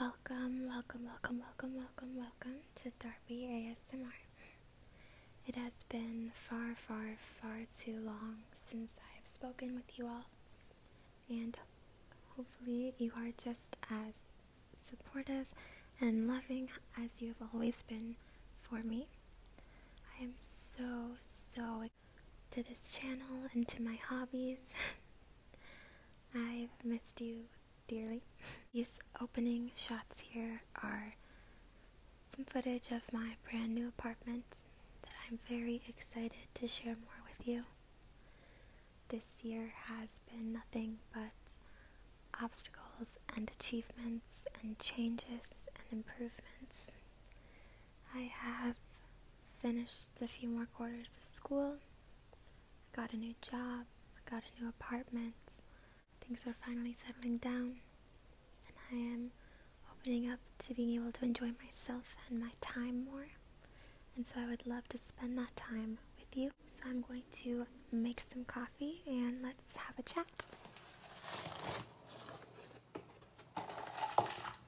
Welcome, welcome, welcome, welcome, welcome, welcome to Darby ASMR. It has been far, far, far too long since I've spoken with you all, and hopefully, you are just as supportive and loving as you've always been for me. I am so, so to this channel and to my hobbies. I've missed you dearly. These opening shots here are some footage of my brand new apartment that I'm very excited to share more with you. This year has been nothing but obstacles and achievements and changes and improvements. I have finished a few more quarters of school I got a new job, I got a new apartment, things are finally settling down, and I am opening up to being able to enjoy myself and my time more. And so I would love to spend that time with you. So I'm going to make some coffee and let's have a chat.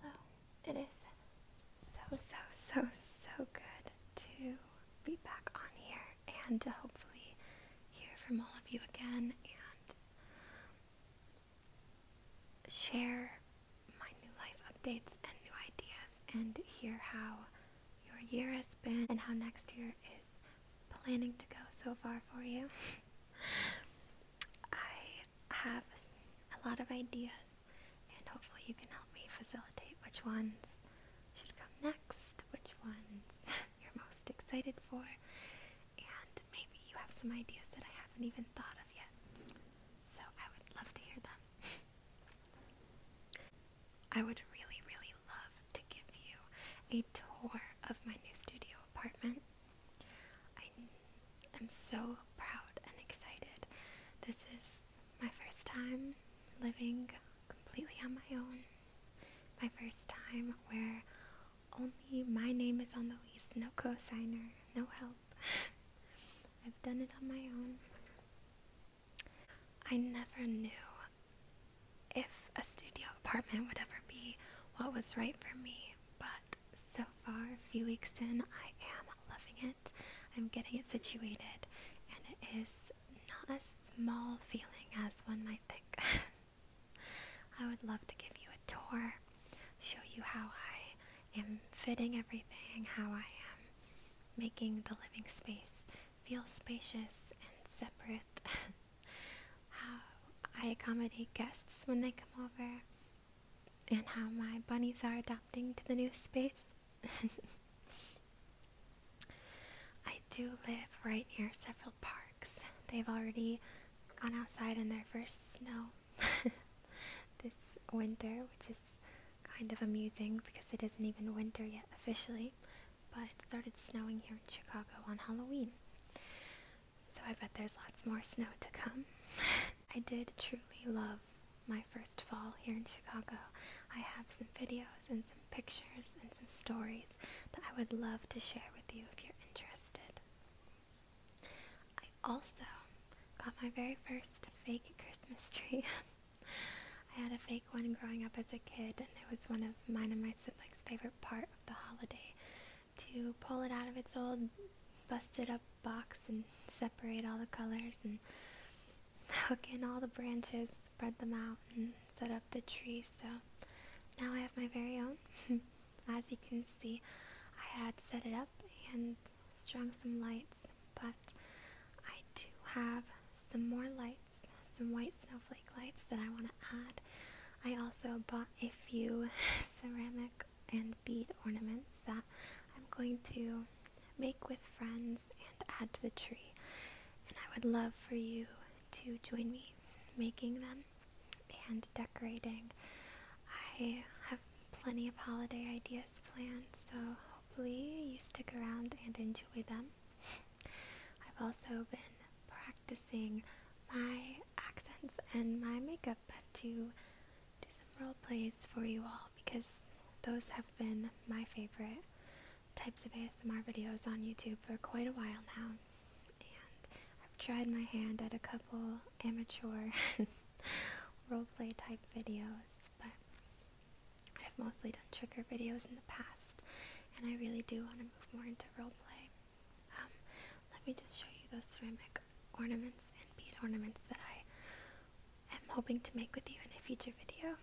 Hello. It is so, so, so, so good to be back on here and to hopefully hear from all of you again and share my new life updates and new ideas and hear how your year has been and how next year is planning to go so far for you. I have a lot of ideas and hopefully you can help me facilitate which ones should come next, which ones you're most excited for, and maybe you have some ideas that I haven't even thought of yet so I would love to hear them. I would really, really love to give you a tour of my new studio apartment. I am so proud and excited. This is my first time living completely on my own. My first time where only my name is on the lease, no co-signer, no help. I've done it on my own. I never knew if a studio apartment would ever be what was right for me, but so far, a few weeks in, I am loving it. I'm getting it situated, and it is not a small feeling as one might think. I would love to give you a tour, show you how I am fitting everything how I am, making the living space feel spacious and separate. how I accommodate guests when they come over, and how my bunnies are adapting to the new space. I do live right near several parks. They've already gone outside in their first snow this winter, which is kind of amusing because it isn't even winter yet officially, but it started snowing here in Chicago on Halloween. So I bet there's lots more snow to come. I did truly love my first fall here in Chicago. I have some videos and some pictures and some stories that I would love to share with you if you're interested. Also, got my very first fake Christmas tree. I had a fake one growing up as a kid, and it was one of mine and my siblings' favorite part of the holiday to pull it out of its old busted up box and separate all the colors and hook in all the branches, spread them out, and set up the tree. So now I have my very own. As you can see, I had set it up and strung some lights, but I do have some more lights, some white snowflake lights that I want to add. I also bought a few ceramic and bead ornaments that I'm going to make with friends and add to the tree. And I would love for you to join me making them and decorating. I have plenty of holiday ideas planned, so hopefully you stick around and enjoy them. I've also been practicing my accents and my makeup to do some role plays for you all because those have been my favorite types of ASMR videos on YouTube for quite a while now. And I've tried my hand at a couple amateur roleplay type videos, but I've mostly done trigger videos in the past, and I really do want to move more into roleplay. Um, let me just show you those ceramic ornaments and bead ornaments that I am hoping to make with you in a future video.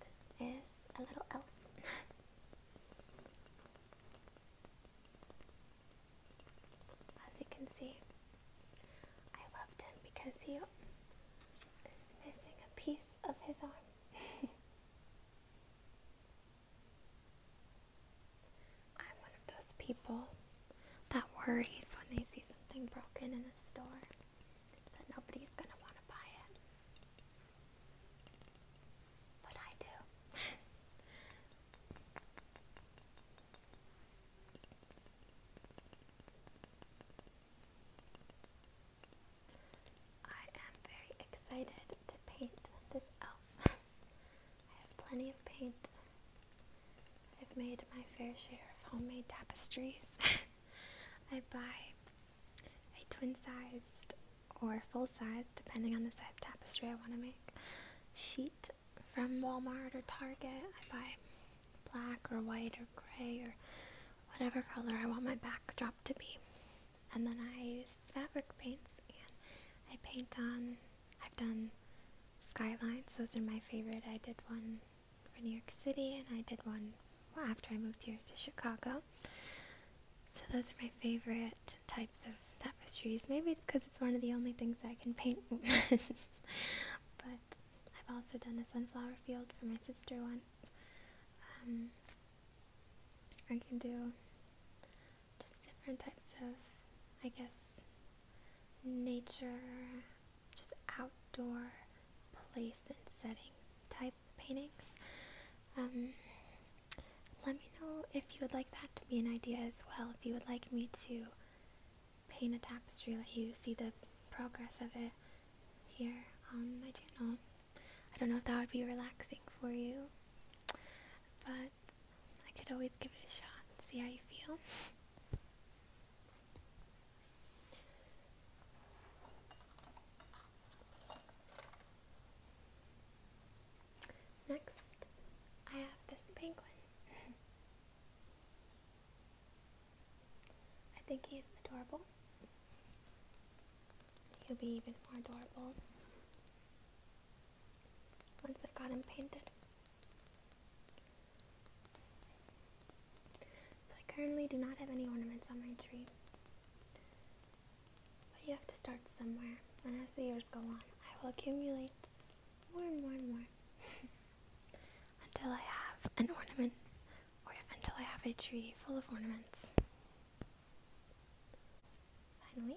This is a little elf. As you can see, I loved him because he is missing a piece of his arm. I'm one of those people that worries when they see something broken in a store that nobody's gonna want to buy it. I am very excited to paint this elf. I have plenty of paint. I've made my fair share of homemade tapestries. I buy a twin sized or full size, depending on the size tapestry I want to make, sheet from Walmart or Target. I buy black or white or gray or whatever color I want my backdrop to be. And then I use fabric paints and I paint on, I've done skylines, those are my favorite. I did one for New York City and I did one after I moved here to Chicago. So those are my favorite types of tapestries. Maybe it's because it's one of the only things I can paint. but I've also done a sunflower field for my sister once. Um, I can do just different types of, I guess, nature, just outdoor place and setting type paintings. Um, let me know if you would like that to be an idea as well. If you would like me to paint a tapestry, let you see the progress of it here on my channel. I don't know if that would be relaxing for you, but I could always give it a shot see how you feel. Next, I have this penguin. I think he is adorable. He'll be even more adorable once I've got him painted. So I currently do not have any ornaments on my tree. But you have to start somewhere, and as the years go on, I will accumulate more and more and more until I have an ornament, or until I have a tree full of ornaments. Finally,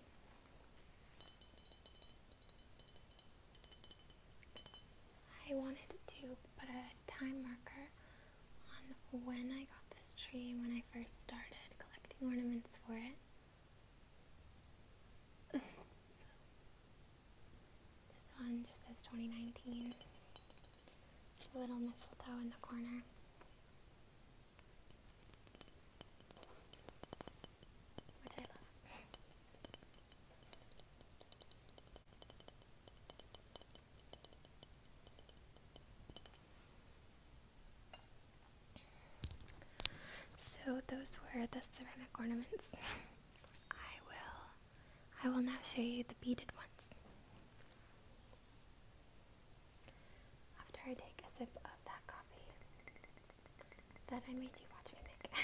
I wanted to put a time marker on when I got this tree when I first started collecting ornaments for it. this one just says 2019. little mistletoe in the corner. Which I love. So those were the ceramic ornaments. I will I will now show you the beaded ones. After I take a sip of that coffee that I made you watch me make.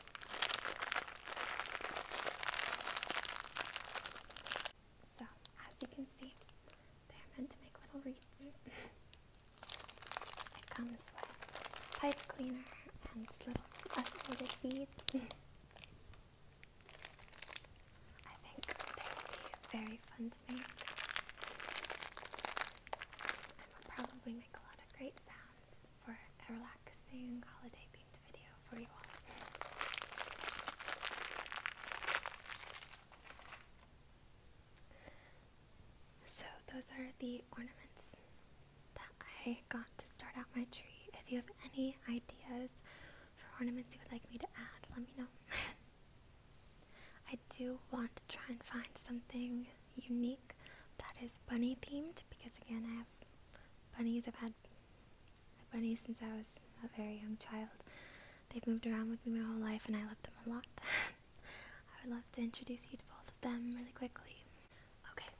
So, as you can see, they're meant to make little wreaths. it comes with pipe cleaner and little assorted beads. I think they would be very fun to make. And will probably make a lot of great sounds for a relaxing holiday themed video for you all. So, those are the ornaments that I got to start out my tree. If you have any ideas for ornaments you would like me to add, let me know. I do want to try and find something unique that is bunny themed because again I have bunnies. I've had bunnies since I was a very young child. They've moved around with me my whole life and I love them a lot. I would love to introduce you to both of them really quickly. Okay.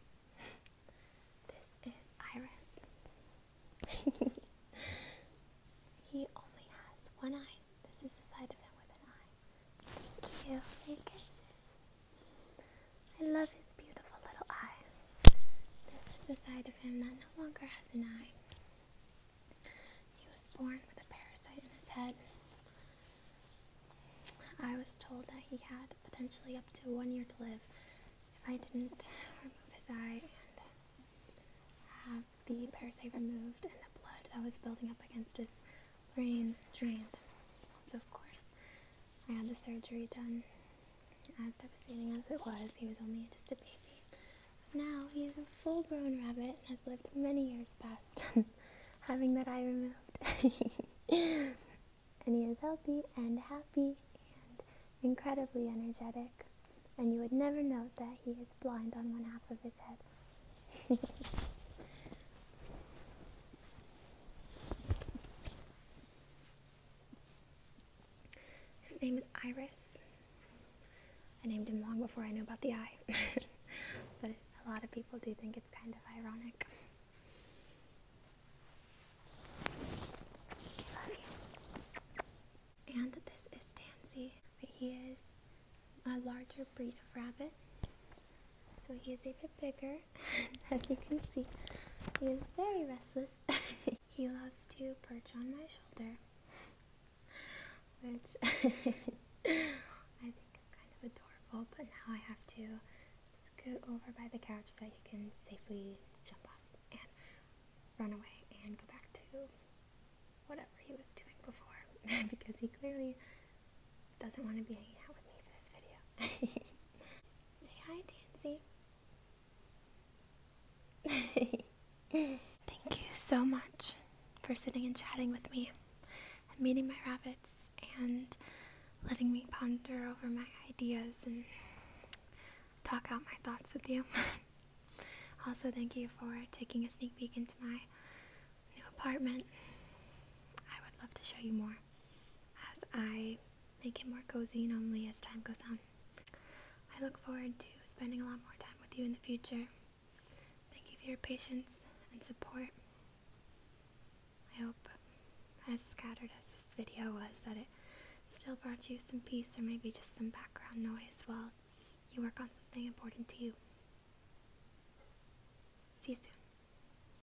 this is Iris. he only has one eye. This is the side of him with an eye. Cute kisses. I love his beautiful little eye. This is the side of him that no longer has an eye. He was born with a parasite in his head. I was told that he had potentially up to one year to live if I didn't remove his eye and have the parasite removed and the blood that was building up against his brain drained. So, of course, I had the surgery done. As devastating as it was, he was only just a baby. Now he is a full grown rabbit and has lived many years past having that eye removed. and he is healthy and happy and incredibly energetic. And you would never know that he is blind on one half of his head. His name is Iris. I named him long before I knew about the eye, but a lot of people do think it's kind of ironic. And this is Tansy. He is a larger breed of rabbit. So he is a bit bigger, as you can see. He is very restless. he loves to perch on my shoulder, which I think is kind of adorable, but now I have to scoot over by the couch so that he can safely jump off and run away and go back to whatever he was doing before because he clearly doesn't want to be hanging out with me for this video. Say hi, Tansy. Thank you so much for sitting and chatting with me and meeting my rabbits and letting me ponder over my ideas and talk out my thoughts with you. also, thank you for taking a sneak peek into my new apartment. I would love to show you more as I make it more cozy and only as time goes on. I look forward to spending a lot more time with you in the future. Thank you for your patience and support. I hope, as scattered as this video was, that it still brought you some peace or maybe just some background noise while you work on something important to you. See you soon.